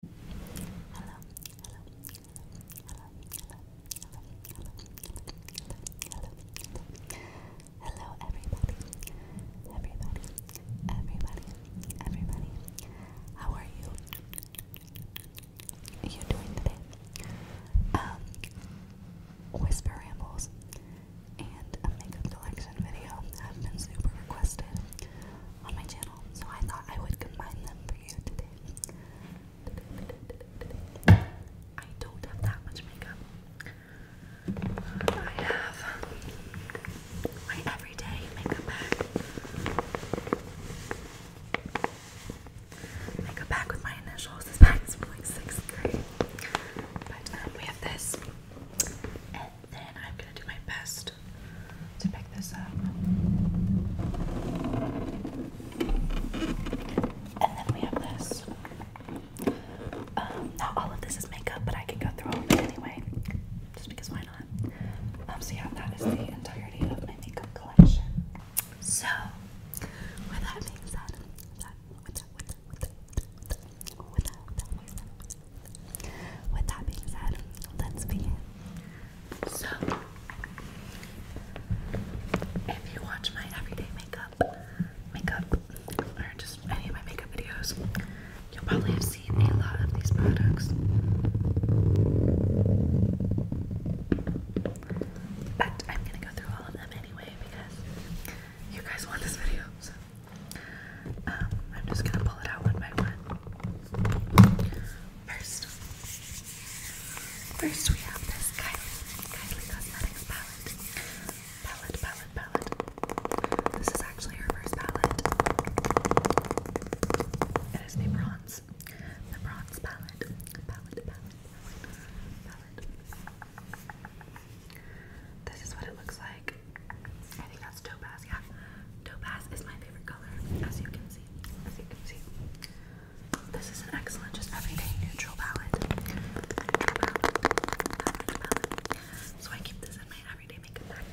hello, hello, hello, hello, hello, hello, hello, hello, everybody, everybody, everybody, everybody. How are you? you doing today? Um, whisper rambles and a makeup collection video have been super requested on my channel, so I thought I would combine them for you today. I don't have that much makeup. I have my everyday makeup bag. Makeup bag with my initials. This bag's from like sixth grade. But um, we have this then I'm gonna do my best to pick this up. And then we have this. not all of this is makeup, but I can go through it anyway, just because why not? Um, that is the entirety of my makeup collection. So, with that being said, with that being said, let's begin. So, if you watch my everyday makeup, makeup, or just any of my makeup videos, you'll probably have seen a lot of these products. But I'm gonna go through all of them anyway because you guys want this video. So um, I'm just gonna pull it out one by one. First, first we have this Kylie, Kylie Cosmetics palette. Palette, palette, palette. This is actually her first palette. It is the bronze, the bronze Palette, palette, palette, palette. This is what it looks like. I think that's topaz, yeah. Topaz is my favorite color, as you can see. As you can see. This is an excellent, just everyday neutral palette. Neutral So I keep this in my everyday makeup bag.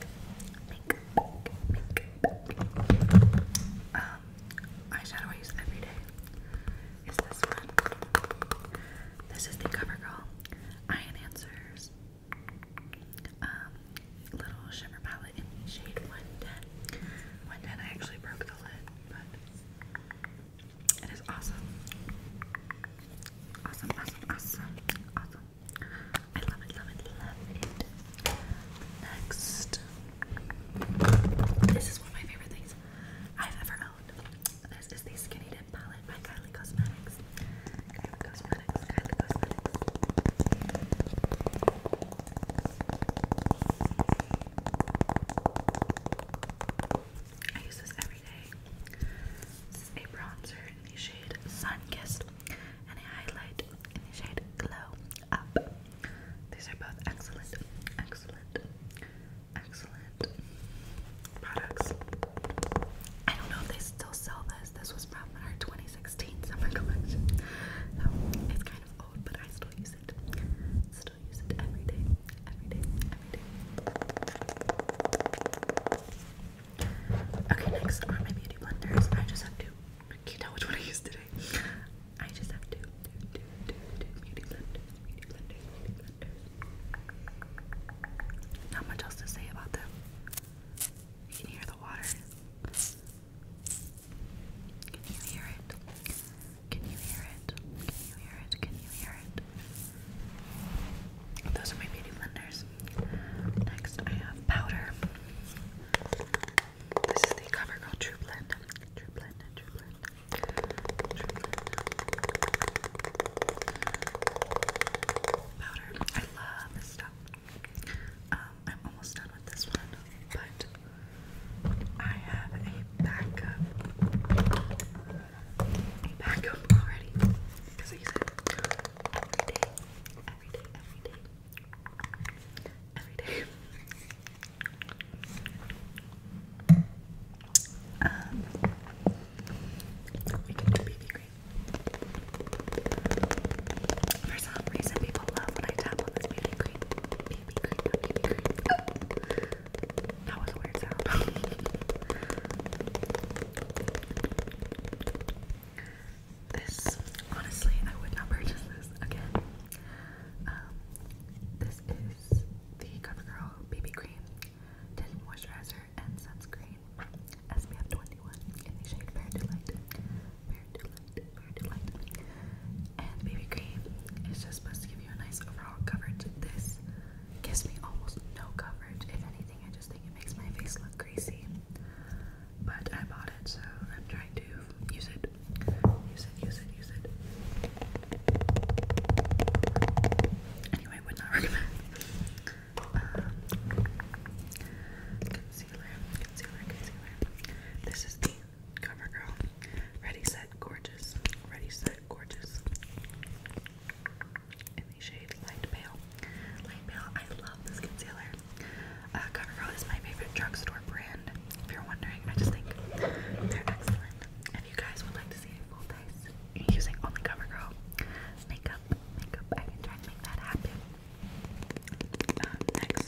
Makeup, makeup, makeup. Um, eyeshadow I use every day is this one. This is the CoverGirl Eye Enhancers um, little shimmer palette in shade 110. 110, I actually broke the lid, but it is awesome. Awesome, awesome, awesome, awesome. I love it, love it, love it. Next, this is one of my favorite things I've ever owned. This is the Skinny Dip palette by Kylie Cosmetics. I use this every day. This a bronzer in the shade Sun Kissed and a highlight in the shade Glow Up. These are both excellent, excellent, excellent products. I don't know if they still sell this. This was from our 20 2016 summer collection. So it's kind of old, but I still use it. Still use it every day, every day, every day. Okay, next are my beauty blenders. I just have to. Can not tell which one I used today? I just have to Not much else to say about them. You hear the water. Can you hear it? Can you hear it? Can you hear it? Can you hear it? Those are my beauty blenders. Next, I have powder. This is the CoverGirl True Blend. True Blend, True Blend. True Blend. Powder. I love this stuff. Um, I'm almost done with this one, but I have a backup. A backup already. Because I use it every day. Every day, every day. Every day. Um, for some reason, people love when I tap on this BB cream. BB cream, not cream. That was a weird sound. this, honestly, I would not purchase this again. Um, this is the CoverGirl Baby Cream Tinted Moisturizer moisturizer and sunscreen SPF 21 in shade Fair to Light, Fair to Light, Fair to Light. And BB cream is just supposed to give you a nice overall coverage. This gives me almost no coverage. If anything, I just think it makes my face look greasy. But I bought it, so I'm trying to use it. Use it, use it, use it. Anyway, I would not recommend concealer, concealer, concealer. This is the CoverGirl Ready Set Gorgeous, Ready Set Gorgeous in the shade Light Pale. Light Pale, I love this concealer. Uh, CoverGirl is my favorite drugstore brand. If you're wondering, I just think they're excellent. If you guys would like to see a full face using only oh CoverGirl makeup. Makeup. I can try to make that happen. Um, next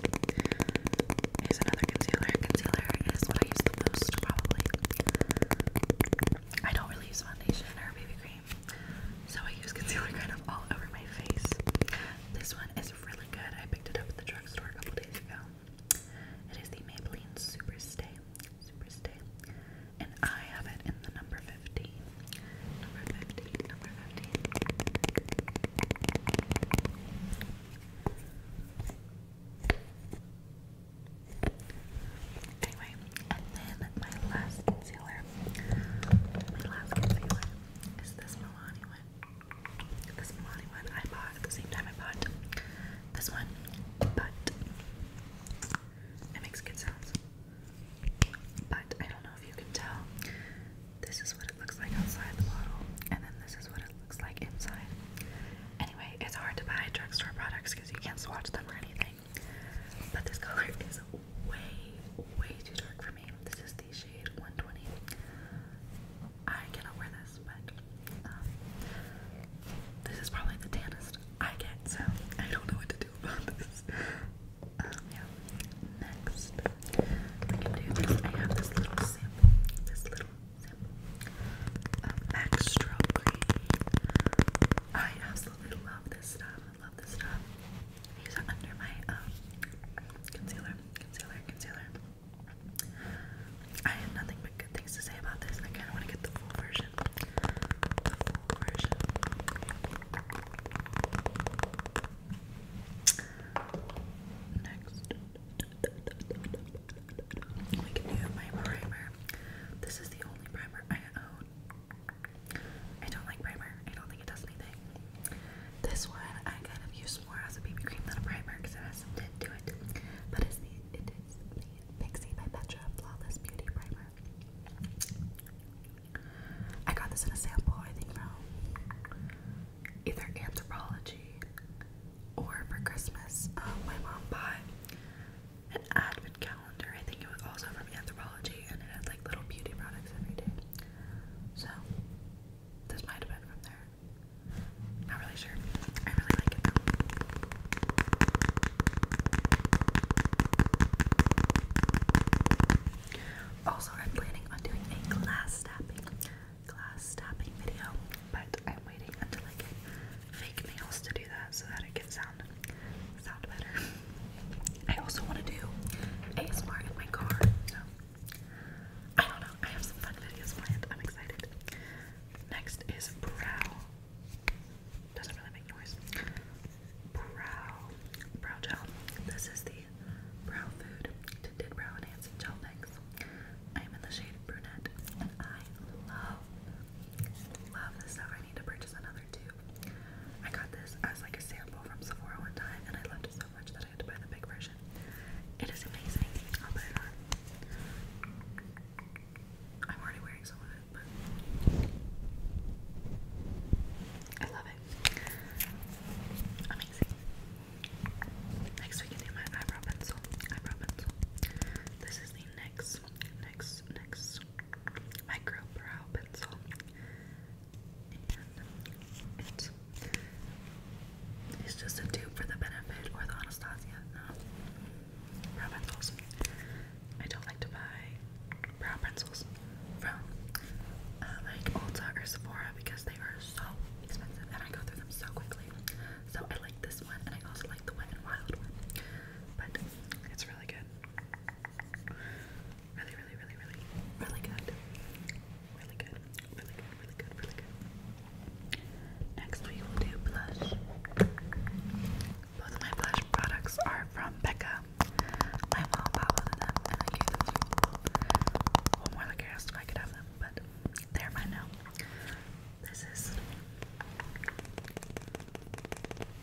is another concealer. Concealer is what I use the most, probably. I don't really use foundation or BB cream, so I use concealer kind of all over my face. This one is really good. I picked it up at the drugstore a couple days ago. It is the Maybelline Super Stay. Super Stay and I have it in the number 15. Anyway, and then my last concealer. My last concealer is this Milani one. This Milani one I bought at the same time I bought this one, but it makes good sounds. But I don't know if you can tell. This is what it looks like outside the bottle, and then this is what it looks like inside. Anyway, it's hard to buy drugstore products because you can't swatch them or anything. But this color is way, way too dark for me. This is the shade 120. I cannot wear this, but um, this is probably the tannest I get, so I don't know what to do. Um, Next, we can do I have this little sample, this little sample of um, Max Stroke I absolutely love this stuff. I love this stuff. I use under my um, concealer, concealer, concealer. I have nothing but good things to say about this. I want to get the full version. Next, we can do my primer. This is the only primer I own. I don't like primer. I don't think it does anything. This one I kind of use more as a baby cream than a primer because it has some tint to it. But it's the it is by Petra Flawless Beauty Primer. I got this in a sample, I think, either anthropology or for Christmas. Um, my mom bought an advent calendar. I think it was also from anthropology, and it had like little beauty products every day. So this might have from there. Not really sure. I really like it though. Also, I'm planning on doing a glass tapping, glass tapping video, but I'm waiting until I fake nails to do that so that it can sound sound better. I also want to do ASMR in my car, so I don't know. I have some fun videos planned. I'm excited. Next is brow doesn't really make noise. Brow brow gel. This is the brow food tinted brow enhancing gel mix. I am in the shade brunette, and I love love this stuff. I need to purchase another tube. I got this as like a sample from Sephora one time, and I loved it so much that I had to buy the big version. It is amazing. I'll put it on. I'm already wearing some of it. I love it. Amazing. Next we can do my eyebrow pencil. Eyebrow pencil. This is the next, next, next micro brow pencil. And it's just a tube for the benefit or the Anastasia brow pencils. I don't like to buy brow pencils from uh, like Ulta or Sephora because they are so expensive and I go through them so quickly. So I like this one and I also like the one and Wild one. But it's really good. Really, really, really, really, really good. Really good. Really good, really good, really good. Next we will do blush. Both of my blush products are from Becca. My mom bought them and I gave them to one more like I I could have them, but they're mine now. This is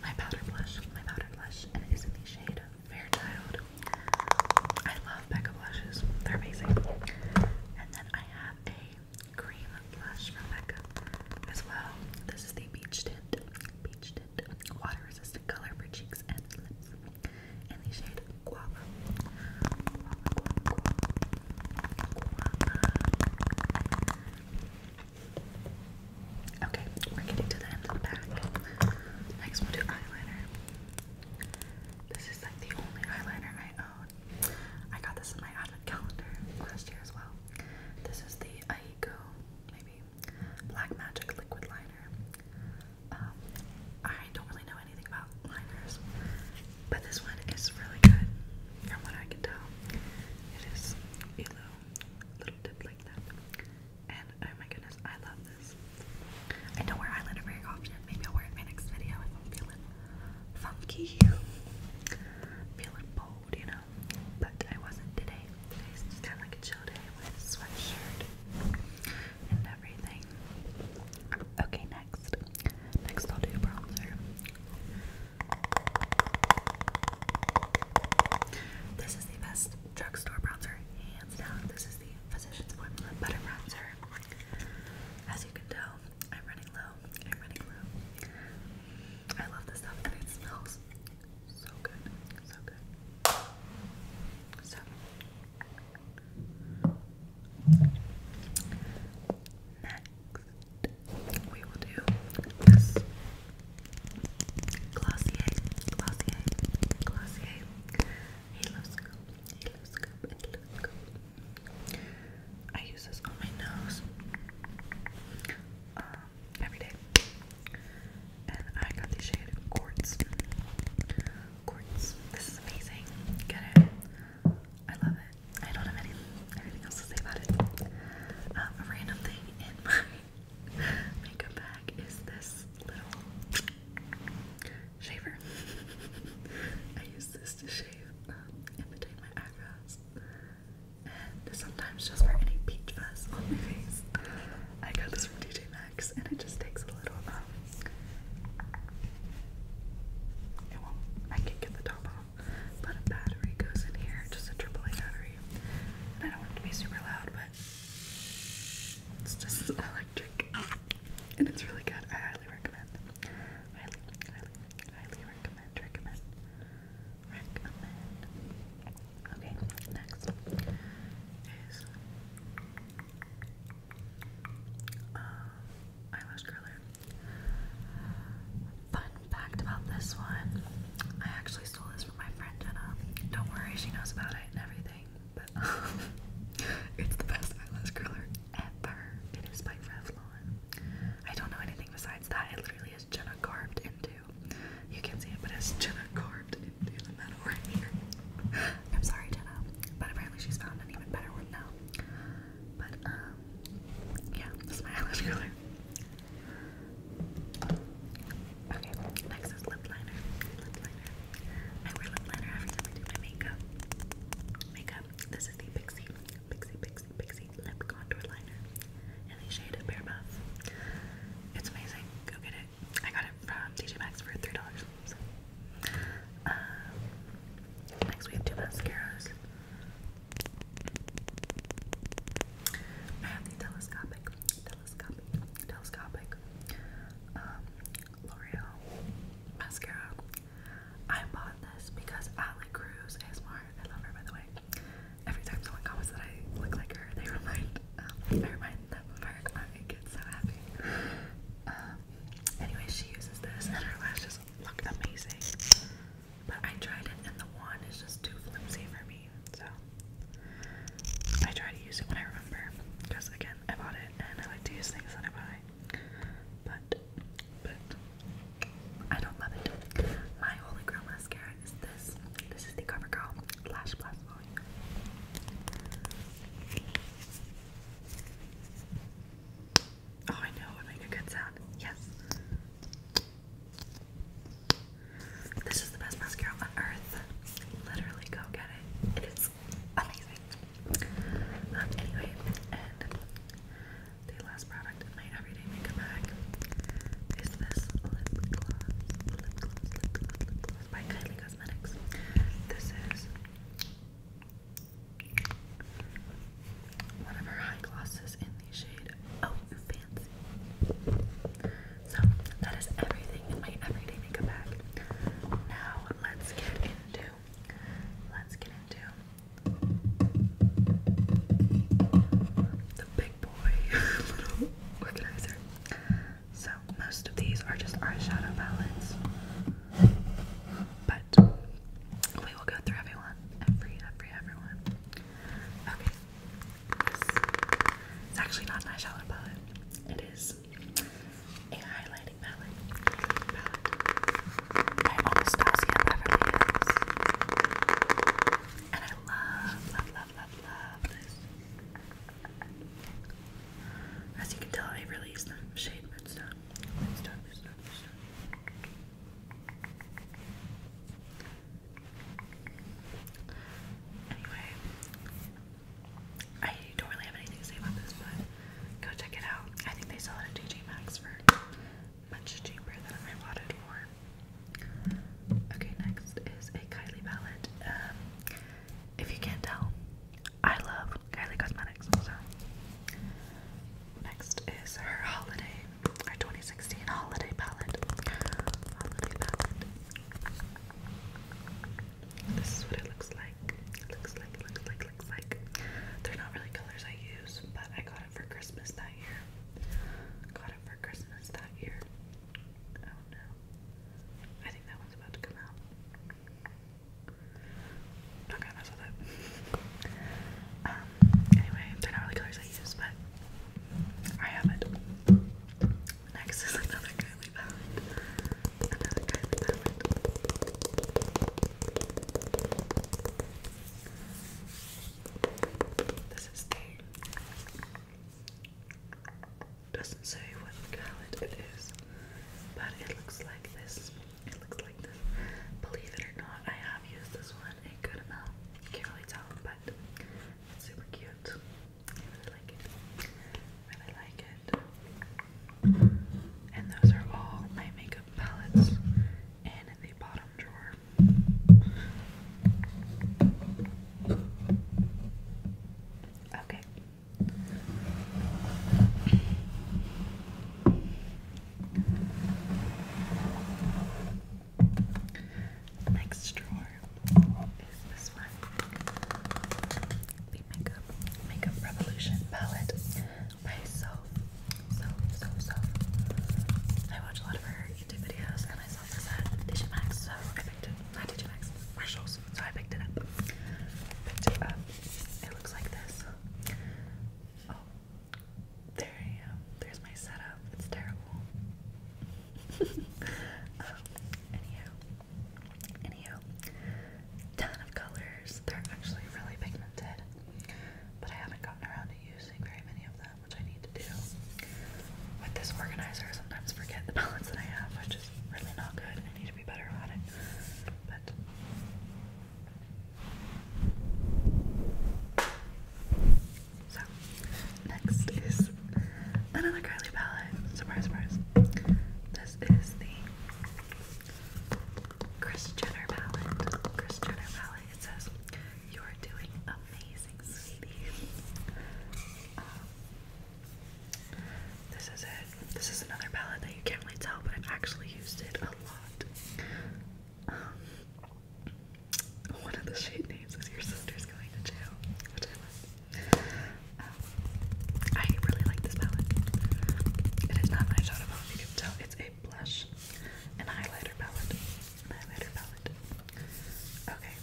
my powder blush, my powder blush, and it is in the shade Fairchild. I love Becca blushes, they're amazing. And then I have a cream blush from Becca as well. This is the Beach Tint, water resistant color for cheeks and lips. And the shade Guava. Guava, guava, guava. Okay, we're getting to the end of the bag. Next, we'll do eyeliner. This is like the only eyeliner I own. I got this in my advent calendar last year as well. This is the I go maybe, Black Magic Liquid Liner. Um, I don't really know anything about liners, but this one is really good, from what I can tell. It is yellow, little dip like that, and oh my goodness, I love this. I don't wear eyeliner very often. Maybe I'll wear it in my next video if I'm feeling funky, feeling bold, you know but I wasn't today. Today's just kind like a chill day with sweatshirt and everything. Okay, next. Next, I'll do bronzer. This is the best drugstore bronzer, hands down. This is the Physicians Formula Butter Bronzer. As you can tell, I'm running low. I'm running low. I love this stuff and it smells so good. So good. So next we will do this Glossier, Glossier, Glossier. Halo scoop, Halo scoop, and Halo I use this on my nose um, every day. And I got the shade Quartz. Quartz. This is amazing. Get it. I love it. I don't have anything else to say about it. Um, a random thing in my makeup bag is this little shaver. I use this to shave in um, between my eyebrows and sometimes just for any peach fuzz on my face. I got this from DJ Maxx, and it just takes a little. Um, it won't. I can get the top off, but a battery goes in here, just a AAA battery. And I don't want to be super loud, but it's just electric, and it's really good. I highly recommend highly, highly, highly recommend, recommend, recommend. Okay, next is uh, eyelash curler. Fun fact about this one, I actually stole this from my friend Jenna. Don't worry, she knows about it and everything, but it's the best eyelash curler ever. It is by Revlon. I don't know anything besides that, it literally is Jenna carved into. You can see it, but it's Jenna carved into the metal right here. I'm sorry, Jenna, but apparently she's found an even better one now. But um, yeah, this is my eyelash Okay, next is Lip liner. I wear lip liner every time I do my makeup. Makeup. This is the Pixie. Pixie, Pixie, Pixie Lip Contour Liner in the shade Bear Buff. It's amazing. Go get it. I got it from TJ Maxx for $3. Um, next, we have two mascaras. I have the telescopic, telescopic, telescopic um, L'Oreal mascara. I bought this because Allie Cruz ASMR, I love her by the way. Every time someone comments that I look like her, they remind um, I remind them of her. I get so happy. Um, anyway, she uses this and her lashes look amazing. But I tried it and the wand is just too flimsy for me. So I try to use it when I remember. Because again, I bought it and I like to use things that I buy. But but I don't love it. My Holy Grail mascara is this. This is the CoverGirl Lash Blast Volume. Oh, I know, it made a good sound. Yes. This is the best mascara on earth. Literally, go get it. It is amazing. Um, anyway, the last product in my everyday makeup bag is this lip gloss, lip gloss, lip gloss, lip gloss by Kylie Cosmetics. This is one of her high glosses in the shade Oh Fancy. So that is everything in my everyday makeup bag. Now let's get into let's get into the big boy organizer. So most of these are just our shadow palettes. But we will go through everyone. Every, every, everyone. Okay. it's actually not an shadow palette. It is a Highlighting palette by Anastasia Beverly Hills. And I love, love, love, love, love this. As you can tell, I really the shade Redstone. Redstone, Redstone, Redstone. Anyway, I don't really have anything to say about this, but go check it out. I think they sell it at TJ Maxx for much cheaper than I bought it for. Okay, next is a Kylie palette. Um, if you can't tell, I love Kylie Cosmetics. So next is her holiday, her 2016 holiday palette. Holiday palette. This is what it looks like. It looks like, it looks like, looks like. They're not really colors I use, but I got it for Christmas that year. Got it for Christmas that year. Oh no. I think that one's about to come out. Not gonna mess with it. Um, anyway, they're not really colors I use, but I have it. Next is another Kylie palette. This is the doesn't say what palette it is, but it looks like this. It looks like this. Believe it or not, I have used this one a good amount. You can't really tell, but super cute. I like it. really like it. And those are all my makeup palettes in the bottom drawer. Okay. Next drawer is this one. The Makeup Revolution palette myself. So, so, so. I watch a lot of her YouTube videos and I saw this at Digimax, so I picked it. Not Digimax, Marshalls. So I picked it up. Picked it up. It looks like this. Oh, there I am. There's my setup. It's terrible. Um, anyhow, anyhow, ton of colors. They're actually really pigmented. But I haven't gotten around to using very many of them, which I need to do. With this organizer, sometimes forget the balance that I have, which is really not good. I need to be better about it. But so, next is another curly palette. Surprise, surprise. This is the Chris Jenner palette. Chris Jenner palette. It says, You are doing amazing, sweetie. Um, this is it. This is another palette that you can't really tell, but I've actually used it a lot. Um, one of the shade names is Your Sister's Going to Jail, um, I really like this palette. It is not my shadow palette, you can tell it's a blush and highlighter palette. highlighter palette. Okay,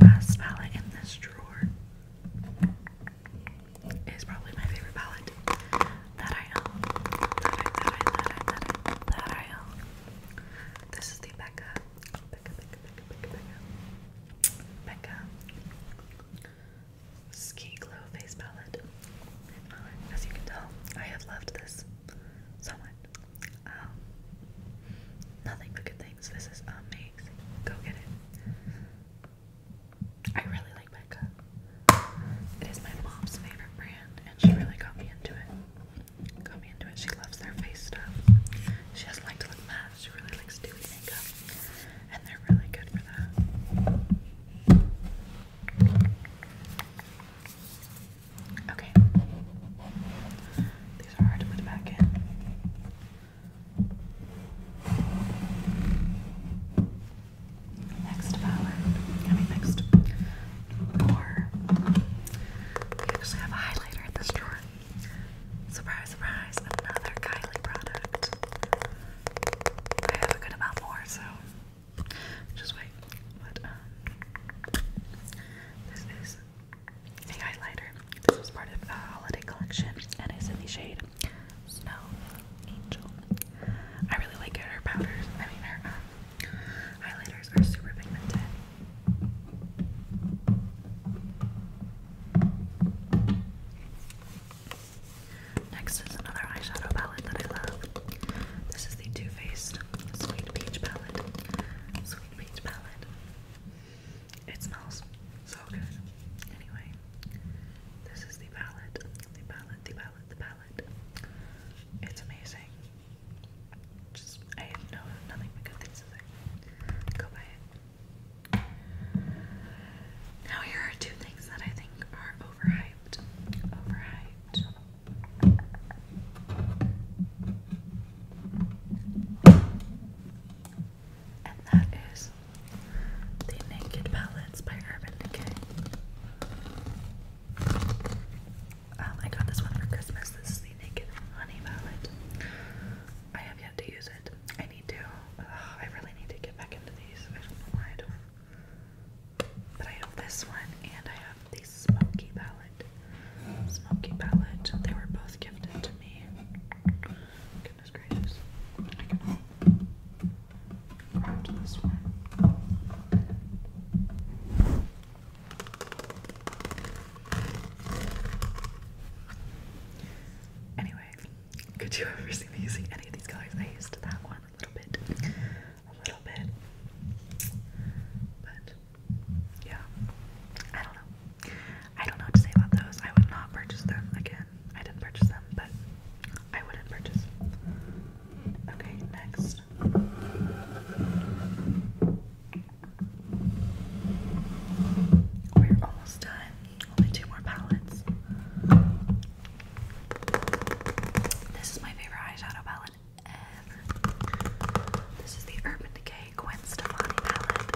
last palette in this drawer is probably my favorite palette that I own. That I, that that I, that that I own. This is the Becca, Becca, Becca, Becca, Becca. Becca. Ski Glow Face Palette. as you can tell, I have loved this so um, nothing but good things. This is amazing. Go get it. I really like Becca. It is my mom's favorite brand, and she really got me into it. Got me into it. She loves their face stuff. She doesn't like to look matte. She really likes doing makeup and they Okay. These are hard to put back in. Next palette, I mean next drawer. We actually have a highlighter in this drawer. Surprise, surprise, another Kylie product. I have a good amount more, so just wait. But um, this is a highlighter. This was part of the holiday collection, and it's in the shade Snow Angel. I really like it. Her powders, I mean, her um, highlighters are super pigmented. Next is another eyeshadow palette that I love. This is the Too Faced Sweet Peach palette. Sweet Peach palette. It smells so good. Anyway, this is the palette. The palette, the palette, the palette. It's amazing. Just, I have no, nothing but good things to say. Go buy it. Now here are two things that I think are overhyped. Overhyped. And that is the Naked Palettes by Urban Decay. Um, I got this one for Christmas. This is the Naked Honey Palette. I have yet to use it. I really need to get back into these. I don't know why I don't. But I have this one and I have the smoky palette. Smoky palette. They were both gifted to me. Goodness gracious. I can this one. Anyway, could you ever see me using any of these colors? I used that one a little bit. A little bit. But yeah. I don't know. I don't know what to say about those. I would not purchase them again. I didn't purchase them, but I wouldn't purchase. Okay, next. We're almost done. Only two more palettes. This is my favorite eyeshadow palette ever. This is the Urban Decay Gwen Stefani palette.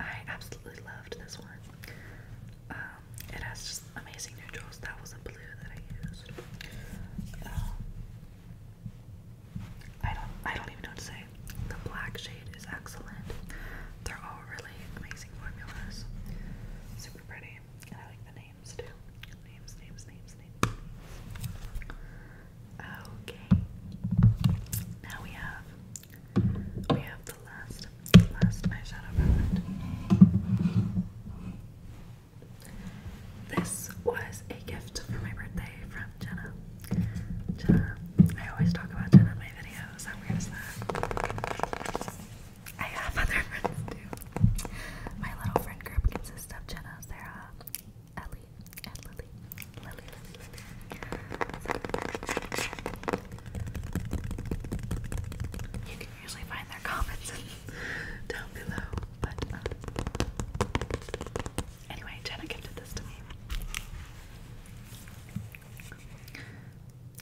I absolutely loved this one. Um, it has just amazing neutrals. That was the blue that I used. Um, I don't I don't even know what to say. The black shade is excellent. They're all really amazing formulas. Super pretty. I like the names too. Names, names, names, names. Okay. Now we have we have the last last eyeshadow palette. This was a gift for my birthday from Jenna. Jenna. I always talk about Jenna in my videos. How weird is that? I have other friends too. My little friend group consists of Jenna, Sarah, Ellie, and Lily. Lily, You can usually find their comments down below, but um, Anyway, Jenna gifted this to me.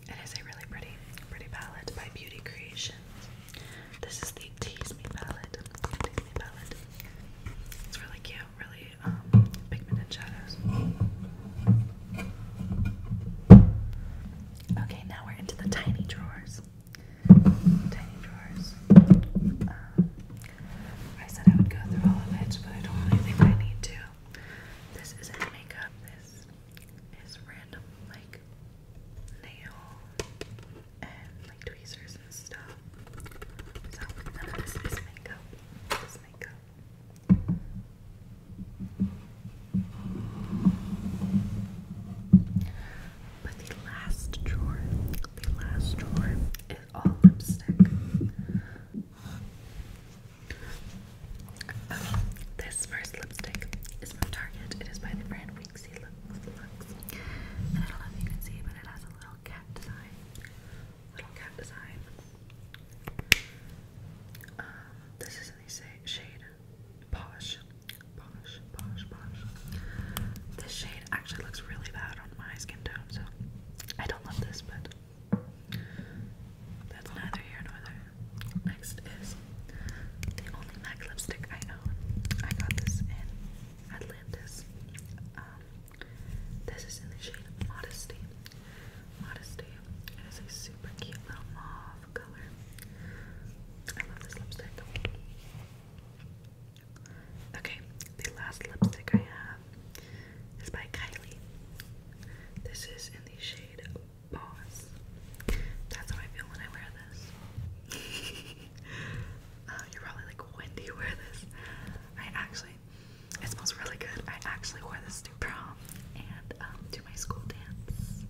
It is a really pretty, pretty palette by Beauty Creations. This is the Tease Me palette. Tease Me palette. It's really cute, really um, pigmented shadows. Okay, now we're into the tiny drawers. Tiny drawers. Um, I said I would go through all of it, but I don't really think I need to. This isn't makeup, this is random, like, nail and, like, tweezers and stuff. So, this is makeup. This makeup. But the last drawer, the last drawer Oh, lipstick. this first lipstick is from Target. It is by the brand Winxie I don't know if you can see, but it has a little cat design. Little cat design. Um, this is in the shade posh, this shade actually looks really bad on my skin tone, so I don't love this, but that's neither here nor there. Next is the only MAC lipstick I know. I got this in Atlantis. Um, this is in the shade Modesty. Modesty. It is a super cute little mauve color. I love this lipstick. Okay, the last lipstick I have is by Kylie. This is in the shade Boss. That's how I feel when I wear this. Uh, you're probably like, when do you wear this? I actually, it smells really good. I actually wore this to prom and um, to my school dance.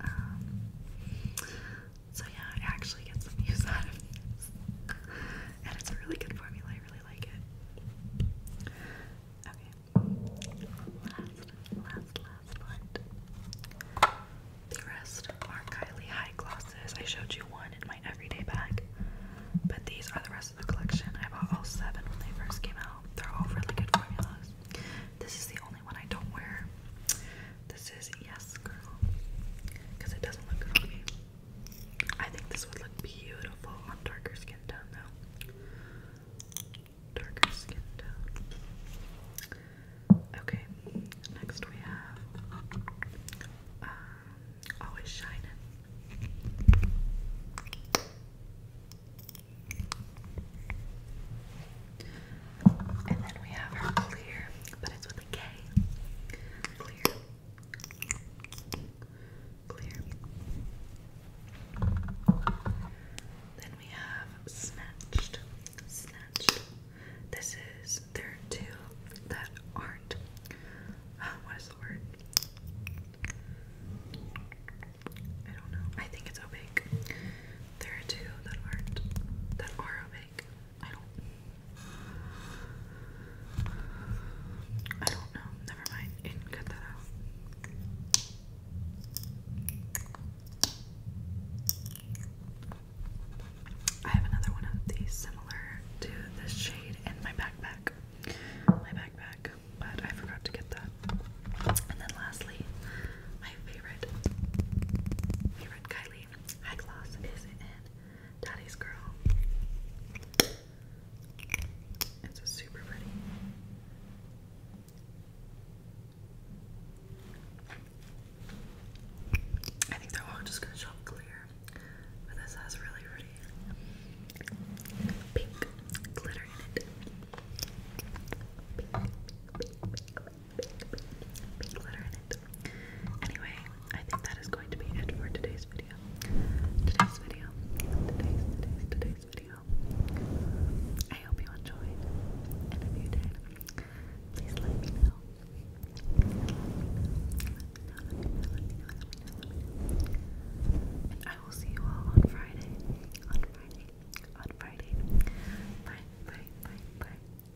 Um, so yeah, I actually get some use out of this. And it's a really good formula, I really like it. Okay. Last, last, last one. The rest are Kylie High Glosses. I showed you one in my everyday bag. But these are the rest of the collection. I bought all seven when they first came out. They're all really good formulas. This is the only one I don't wear. This is Yes Girl. Because it doesn't look good on me. I think this would look beautiful on darker skin tone though. Darker skin tone. Okay, next we have um, Always Shining. And then we have her clear, but it's with a K. Clear. Clear. Then we have Snatched. Snatched. This is there are two that aren't. Uh, what is the word? I don't know. I think it's opaque. There are two that aren't that are opaque. I don't. I don't know. Never mind. You can cut that out. I have another one of these similar to this shade in my backpack. My backpack, but I forgot to get that. And then lastly, my favorite, favorite Kylie eye gloss is in Daddy's Girl. It's super pretty. I think they're just gonna clear. But this has really pretty pink glitter in it. Anyway, I think that is going to be it for today's video. Today's video. Today's, today's, today's video. I hope you enjoyed. And if you did, please let me know. And I will see you all on Friday. On Friday. On Friday. Bye, bye, bye, bye.